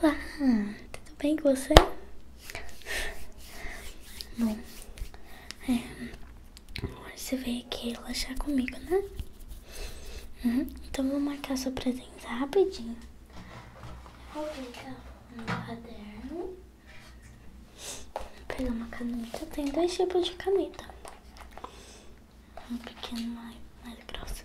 Olá, tudo bem com você? Bom, é, hoje você veio aqui relaxar comigo, né? Uhum, então vou marcar sua presença rapidinho. Vou clicar no caderno pegar uma caneta. Tem dois tipos de caneta. um pequeno mais, mais grossa.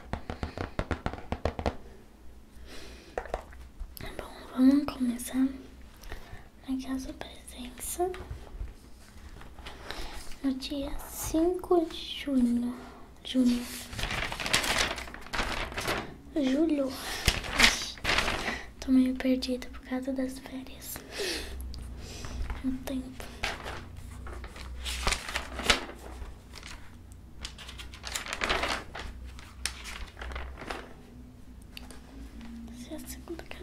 Bom, vamos começar naquela presença no dia cinco de junho. julho Julho. Tô meio perdida por causa das férias. No tempo. Essa é a segunda caneta.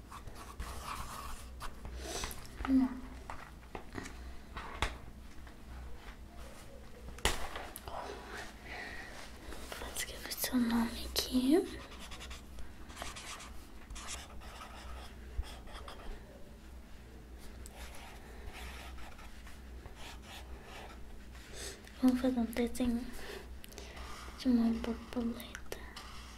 Hum. escrever seu nome aqui. Vamos fazer um desenho de uma borboleta.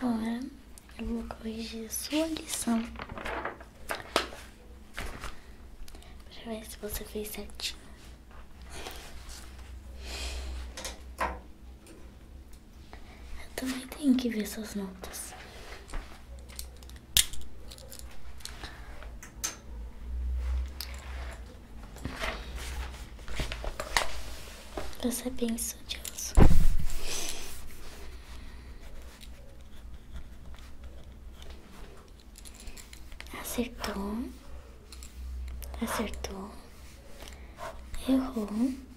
Agora eu vou corrigir sua lição para ver se você fez certinho. Eu também tenho que ver suas notas. Você é bem estudioso. Acertou. Acertou. Errou.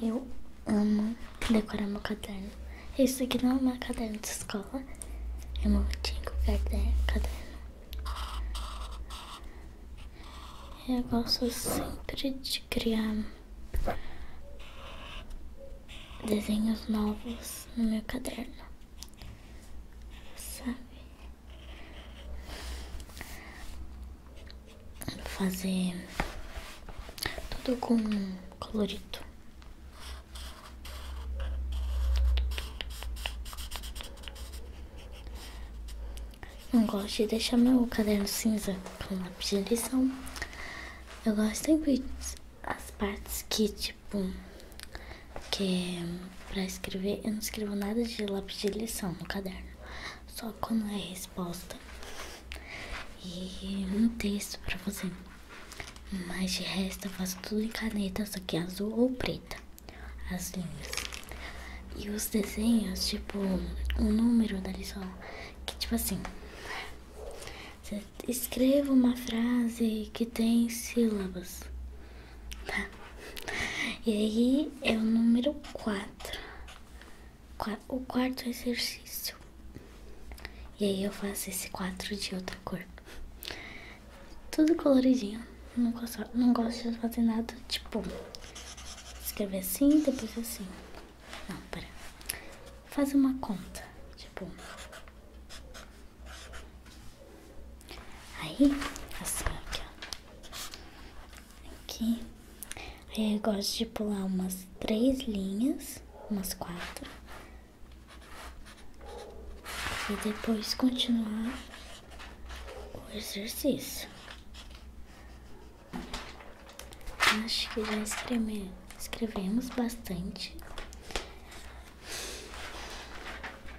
Eu amo decorar meu caderno. Isso aqui não é um caderno de escola. É meu antigo caderno. Eu gosto sempre de criar desenhos novos no meu caderno. Sabe? fazer tudo com colorido. Não gosto de deixar meu caderno cinza com lápis de lição. Eu gosto sempre as partes que, tipo, que é pra escrever, eu não escrevo nada de lápis de lição no caderno foco na é resposta e um texto pra fazer Mas de resto eu faço tudo em caneta, só que azul ou preta, as linhas. E os desenhos, tipo, o número da lição, que tipo assim, você escreva uma frase que tem sílabas, tá? E aí é o número 4 o quarto exercício. E aí eu faço esse quatro de outra cor. Tudo coloridinho. Não gosto, não gosto de fazer nada tipo escrever assim, depois assim. Não, pera. Faz uma conta. Tipo. Aí, assim aqui, ó aqui. Aí eu gosto de pular umas três linhas, umas quatro. E depois continuar o exercício. Acho que já escrevemos bastante.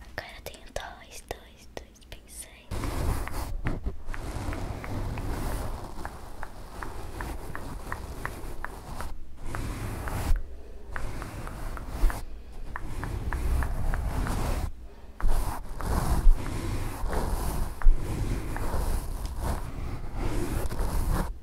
Agora tenho dois, dois, dois pincéis. Agora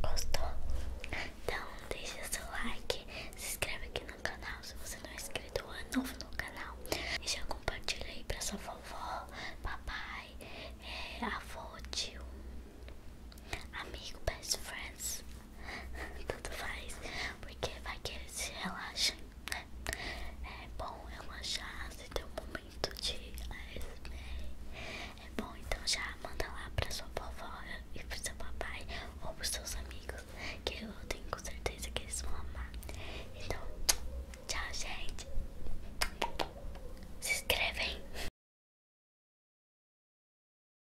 Gostou? Então deixa seu like, se inscreve aqui no canal se você não é inscrito ou é novo no canal E já compartilha aí pra sua vovó, papai, é, avô, tio, amigo, best friends Tudo faz, porque vai que eles se relaxem, né? né? É bom relaxar se tem um momento de ASMR. É bom, então já manda lá pra sua vovó e pro seu papai ou pros seus amigos, que eu tenho certeza que eles vão amar. Então, tchau, gente. Se inscrevem.